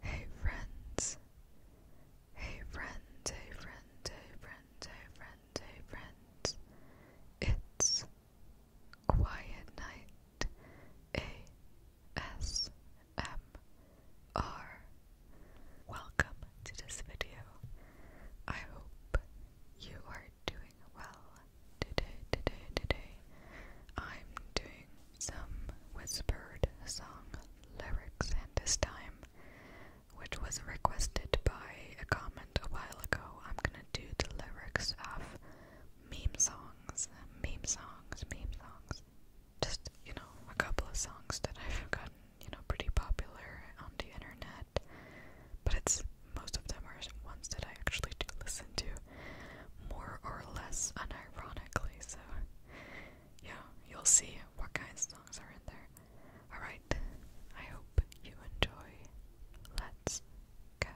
Hey friends. Hey friends, hey friends, hey friends, hey friends, It's Quiet Night ASMR. Welcome to this video. I hope you are doing well today, today, today. I'm doing some whispered song lyrics, and this time, which was requested by a comment a while ago, I'm gonna do the lyrics of meme songs, meme songs, meme songs. Just, you know, a couple of songs that I've forgotten you know, pretty popular on the internet. But it's most of them are ones that I actually do listen to, more or less unironically. So, yeah, you'll see what kinds of songs are in there. Alright, I hope you enjoy. Let's get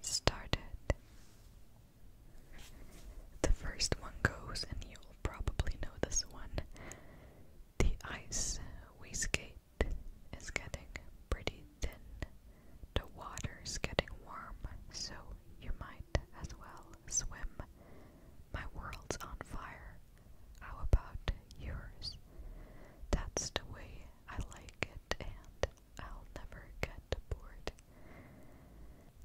started. The first one goes, and you'll probably know this one The Ice we skate. It's getting pretty thin. The water's getting warm, so you might as well swim. My world's on fire. How about yours? That's the way I like it, and I'll never get bored.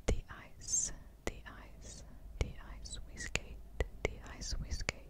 The ice, the ice, the ice we skate, the ice we skate.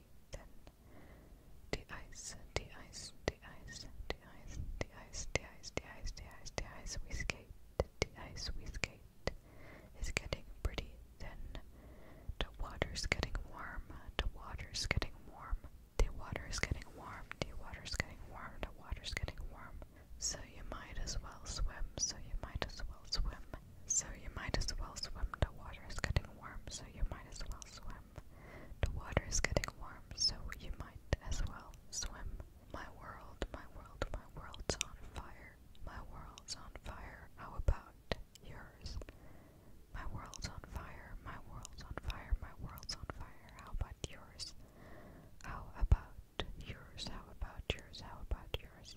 party. Then de-ice, de-ice, de-ice, de-ice, de-ice, de-ice, de-ice, de-ice, de-ice. We skate, de-ice, we skate. It's getting pretty thin. The water's getting warm. The water's getting warm. The water's getting warm. The water's getting warm. The water's getting warm. So you might as well swim. So you might as well swim. So you might as well swim. The water is getting warm, so you might as well swim. The water is getting warm, so you might as well swim. My world, my world, my world's on fire. My world's on fire. How about yours? My world's on fire. My world's on fire. My world's on fire. How about yours? How about yours? How about yours? How about yours?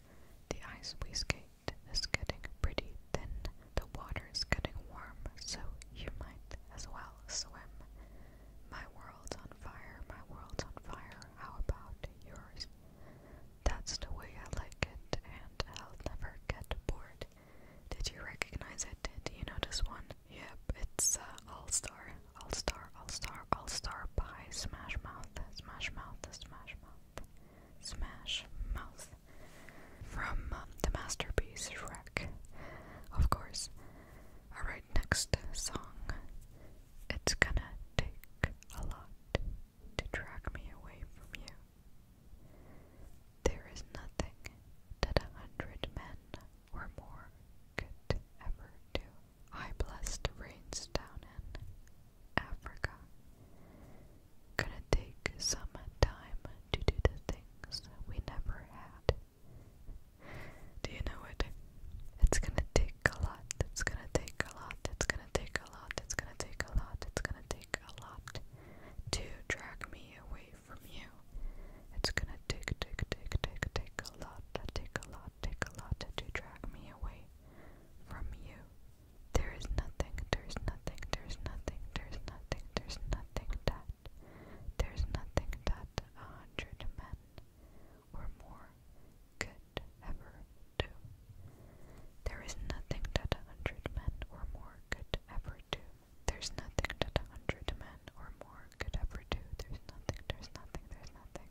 The ice we skate is getting pretty thin, the water is getting warm, so you might as well swim. My world's on fire, my world's on fire, how about yours? That's the way I like it, and I'll never get bored. Did you recognize it? Did you notice one? Yep, it's uh, All Star. All Star all-Star, All-Star, by Smash Mouth, Smash Mouth, Smash Mouth, Smash Mouth. From um, the masterpiece Shrek, of course. Alright, next song. It's gonna take a lot to drag me away from you. There is nothing that a hundred men or more could ever do. I blessed to rains down in Africa. Gonna take some time to do the things we never had. Do you know it? It's gonna take a lot, it's gonna take a lot, it's gonna take a lot, it's gonna take a lot, it's gonna take a lot to drag me away from you. It's gonna take, take, take, take, take a lot, take a lot, not take a lot to drag me away from you. There is nothing, there's nothing, there's nothing, there's nothing, there's nothing that, there's nothing that a hundred men or more could ever do. There is nothing that a hundred men or more could ever do. There's nothing that a hundred men or more could ever do. There's nothing, there's nothing, there's nothing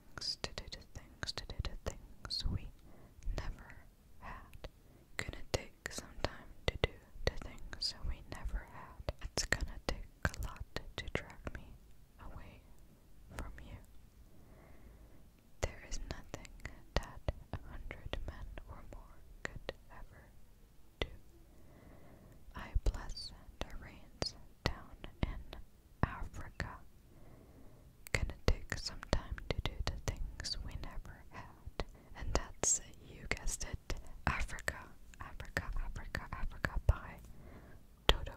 to do the things, to do the things we never had. Gonna take some time to do the things we never had. It's gonna take a lot to drag me away from you. There is nothing that a hundred men or more could ever do. I bless the rains down in Africa. Gonna take some time to do the things we never had. And that's, you guessed it, Africa, Africa, Africa, Africa by Toto.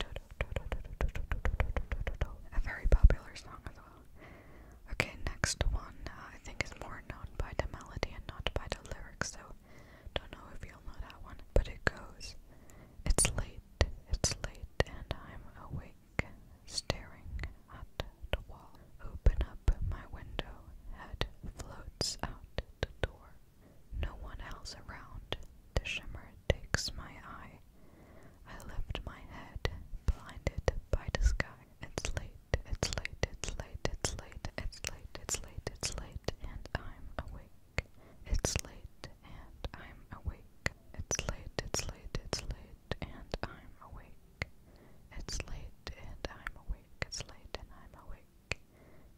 Toto, Toto, Toto, Toto, Toto, Toto, Toto. A very popular song as well. Okay, next one uh, I think is more known by the melody and not by the lyrics, so don't know if you'll know that one. But it goes, it's late it's late and I'm awake, staring at the wall. Open up my window, head floats out the door. No one else around, the shimmer takes my eye. I lift my head, blinded by the sky. It's late, it's late, it's late, it's late, it's late, it's late, it's late, and I'm awake. It's late and I'm awake. It's late, it's late, it's late, and I'm awake. It's late and I'm awake. It's late and I'm awake.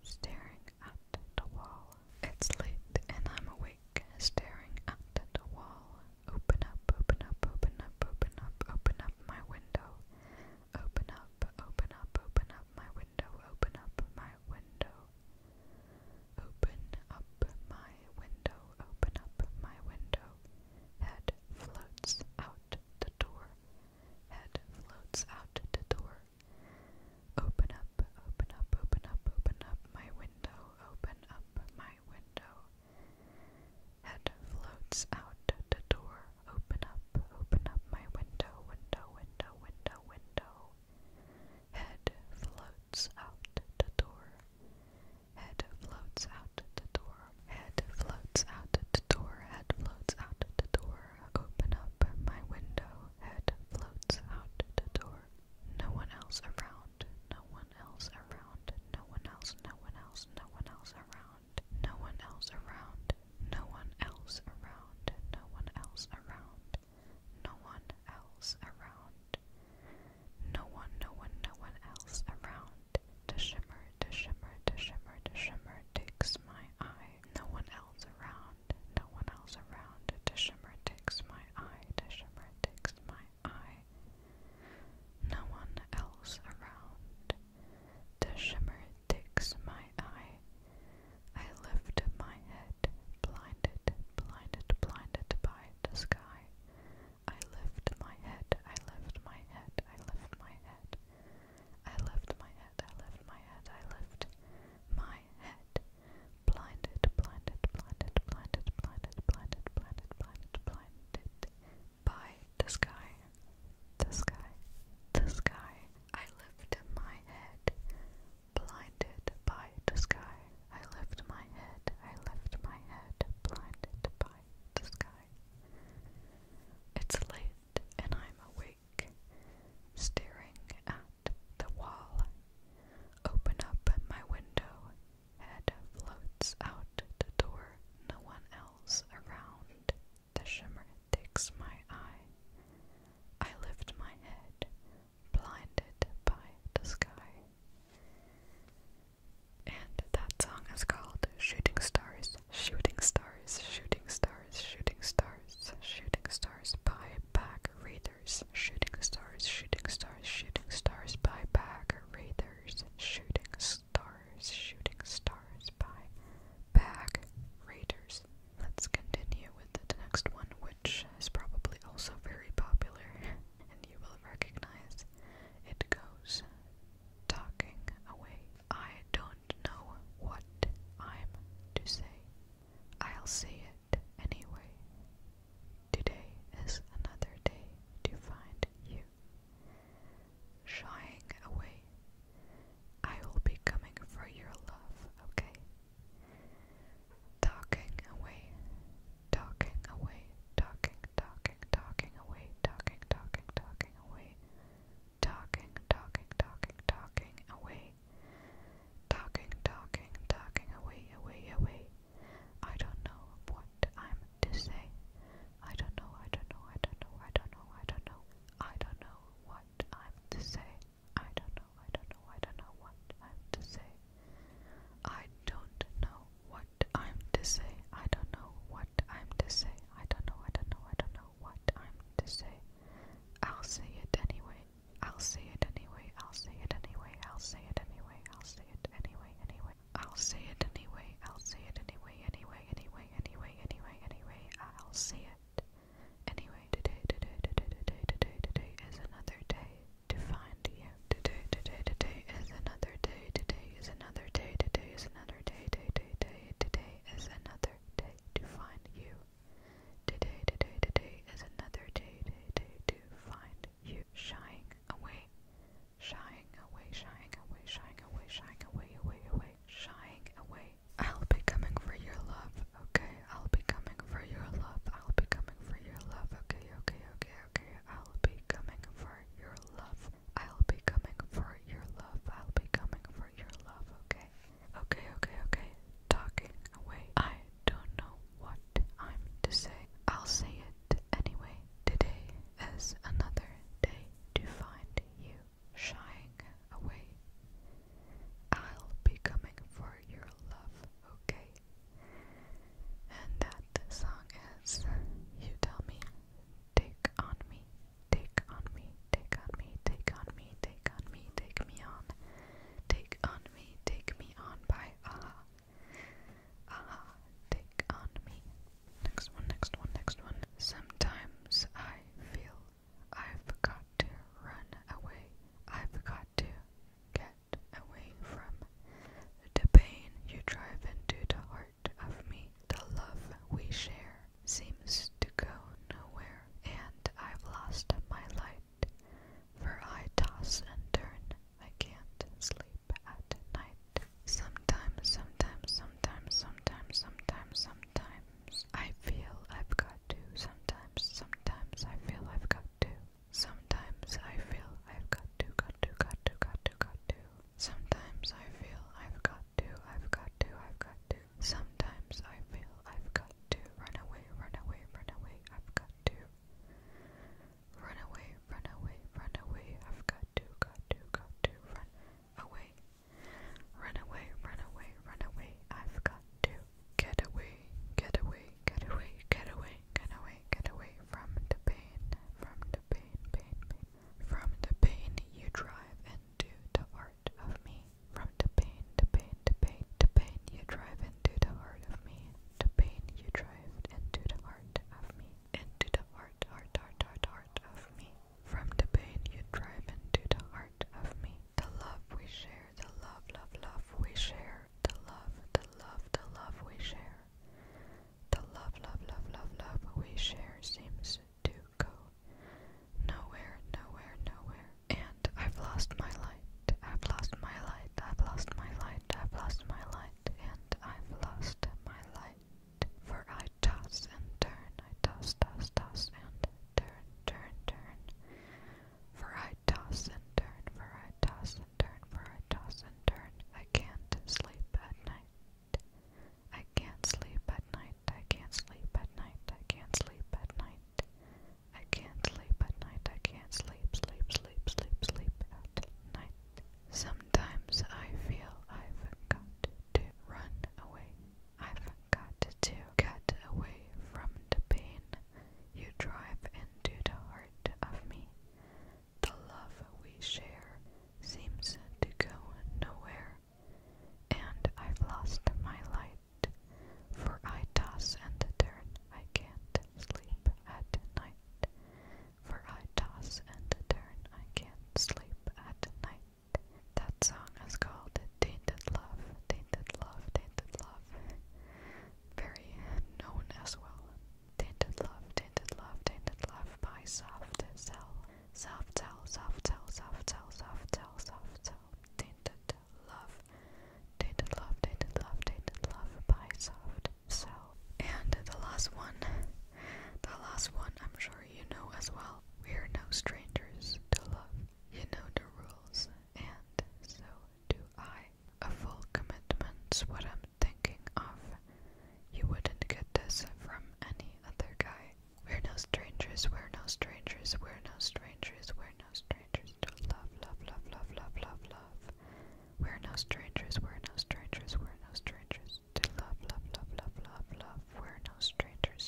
Staring at the wall. It's late and I'm awake. Staring at the wall. Open up, open up, open up, open up, open up my window. Open up, open up, open up my window. Open up my window. Open up my window, open up my window. Head floats out the door. Head floats out the door. Open up, open up, open up, open up my window, open up my window. Head floats out the door. Open up, open up my window, window, window, window, window. Head floats out the door. Head floats out the door. Head floats out the door. Head floats out the door. Open up my window. Head floats out the door. No one else around. No one else around. No one else. No one else. No one else around. No one else around. No one else around. No one else around. No one else around. No one, no one, no one else around. The shimmer, the shimmer, the shimmer, the shimmer takes my eye. No one else around. No one else around. The shimmer takes my eye. The shimmer takes my eye. No one else around. The shimmer takes my eye. I lift my head blinded, blinded, blinded, by the sky. I lift my head, I lift my head, I lift my head. I lift my head, I lift my head, I lift my head. Blinded, blinded, blinded, blinded, blinded, blinded, blinded, blinded, blinded by the sky, the sky, the sky. I lift my head blinded by the sky. I lift my head, I lift my head, blinded by the sky. It's late and I'm awake, staring at the wall. Open up my window, head floats out the door, no one else around. The shimmer takes my eye. I lift my head, Blinded by the Sky. And that song is called Shooting Stars, Shooting Stars, Shooting Stars, Shooting Stars, Shooting Stars by Back Readers, Shooting Stars, Shooting Stars, Shooting Stars by Back Readers, Shooting Stars, Shooting Stars by Back Readers. Let's continue with the next one, which which is probably also very popular, and you will recognize. It goes talking away. I don't know what I'm to say. I'll say it anyway. Today is another day to find you. Shying away. I will be coming for your love, okay? Talking away, talking away, talking, talking, talking away, talking, talking, talking away, talking, talking, talking, talking away, talking, talking, talking away, away, away. I don't know what I'm to say. I don't know, I don't know, I don't know, I don't know, I don't know. I don't know what I'm to say. I don't know, I don't know, I don't know what I'm to say. I don't know what I'm to say. I don't know what I'm to say. I don't know, I don't know, I don't know what I'm to say. I'll say it anyway. I'll say it anyway. I'll say it anyway. I'll say it anyway. I'll say it anyway. Anyway. I'll say it anyway. I'll say it anyway. Anyway. Anyway. Anyway. Anyway. Anyway. I'll say it Anyway, today, today, today, today, today, today is another day to find you. Today, today, today is another day. Today is another day. Today is another day. Day, day, day. Today is another day to find you. Today, today, today is another day. Day, day to find you. Shying away, shying away, shying away, shying away, shying away, away, away, shying away. I'll be coming for your love, okay? I'll be coming for your love. I'll be coming for your love, okay? Okay, okay, okay. I'll be coming for your love. I'll be coming for your love. I'll be coming for your love, okay? Okay, okay, okay. Talking away. I don't know what I'm to say. I'll say it anyway. Today is another day to find you shying away. I'll be coming for your love, okay? And that song is You Tell Me, Take On Me, Take On Me, Take On Me, Take On Me, Take On Me, Take Me On, Take On Me, Take Me On by Aha. Aha, Take On Me. Next one, next one, next one. Sometimes I feel I forgot to run away. I forgot to get away from the pain you drive into the heart of me. The love we share seems to go nowhere, and I've lost my light, for I toss and turn. I can't sleep at night. Sometimes, sometimes, sometimes, sometimes, sometimes, sometimes, Sometimes I feel I've got to. Sometimes, sometimes I feel I've got to. Sometimes I feel I've got to, got to, got to, got to, got to. Sometimes I feel I've got to, I've got to, I've got to. Sometimes I feel I've got to. Run away, run away, run away, I've got to. Run away, run away, run away, I've got to, got to, got to. Run away, Run away, run away, run away. I've got to get away, get away, get away, get away, get away, get away from the pain, from the pain, pain, pain. From the pain you drive into the heart of me. From the pain, the pain, the pain, the pain you drive into the heart of me. The pain you drive into the heart of me. Into the heart, heart, heart, heart, of me. From the pain you drive into the heart of me. The love we share, the love, love, love we share, the love, the love, the love we share. The love, love, love, love, love we share seems to go nowhere, nowhere, nowhere. And I've lost my light, I've lost my light, I've lost my light, I've lost my light, and I've lost my light. For I I toss and turn, I toss, toss, toss, and turn, turn, turn. For I toss and turn, for I toss and turn, for I toss and turn. I can't sleep at night. I can't sleep at night, I can't sleep at night, I can't sleep at night. I can't sleep at night, I can't sleep, sleep, sleep, sleep, sleep at night. Sometimes I feel I've got to run away. I've got to get away from the pain you drive into the heart of me. The love we share seems to go nowhere, and I've lost my light, for I toss and turn, I can't sleep at night. For I toss and turn, I can't sleep at night. That song is called Tainted Love, Tainted Love, Tainted Love. Very known as well. Tainted Love, Tainted Love, Tainted Love by Soft Cell. Soft Cell, Soft Cell, Soft Cell, Soft Cell, Soft Cell. Tainted Love. Tainted Love, Tainted Love, Tainted Love by Soft Cell. And the last one, the last one, I'm sure sure you know as well we're no strangers to love. You know the rules, and so do I. A full commitment's what I'm thinking of. You wouldn't get this from any other guy. We're no strangers, we're no strangers, we're no strangers, we're no strangers to love, love, love, love, love, love, love. We're no strangers, we're no strangers, we're no strangers to love, love, love, love, love, love. We're no strangers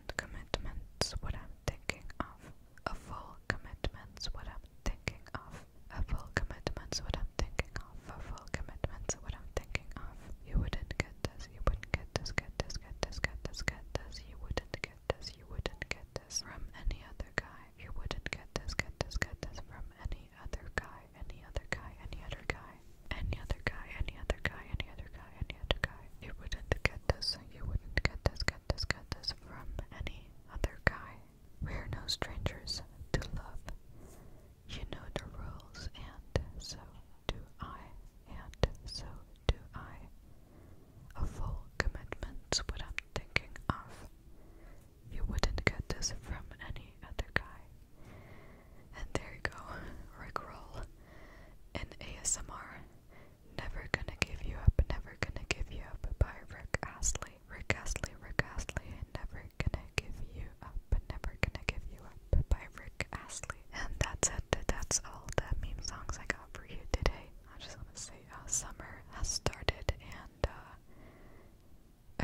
commitment, commitment's what I'm thinking of. A full commitment's what I'm thinking of. A full commitment's what I'm thinking of. A full commitment's what I'm thinking of. You wouldn't get this, you wouldn't get this, get this, get this, get this, get this, you wouldn't get this, you wouldn't get this from any other guy. You wouldn't get this, get this, get this from any other guy, any other guy, any other guy. Any other guy, any other guy, any other guy, any you wouldn't get this, you wouldn't get this, get this, get this from any other guy. We're no strangers to love. You know the rules, and so do I, and so do I. A full commitment's what I'm thinking of. You wouldn't get this from any other guy. And there you go, Rickroll in ASMR Never Gonna Give You Up, Never Gonna Give You Up by Rick Astley. Rick Astley, Rick Astley, Never Gonna Give You Up, Never Gonna Give You Up by Rick Astley. And that's it. That's all the meme songs I got for you today. I just want to say uh, summer has started and uh,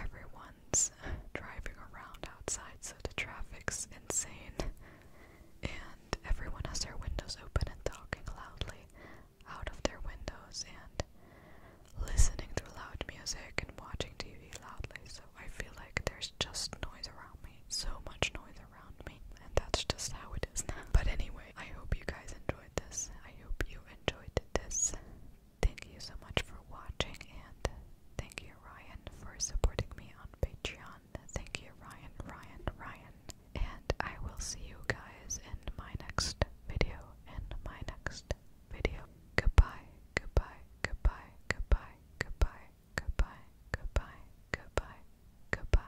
everyone's driving around outside, so the traffic's insane everyone has their windows open and talking loudly out of their windows and listening to loud music and watching TV loudly. So I feel like there's just noise around me, so much noise around me, and that's just how it is now. But anyway, I hope you guys enjoyed this. I hope you enjoyed this. Thank you so much for watching, and thank you, Ryan, for supporting me on Patreon. Thank you, Ryan, Ryan, Ryan. And I will see you guys in my next video. In my next video. Goodbye, goodbye, goodbye, goodbye, goodbye, goodbye, goodbye, goodbye, goodbye.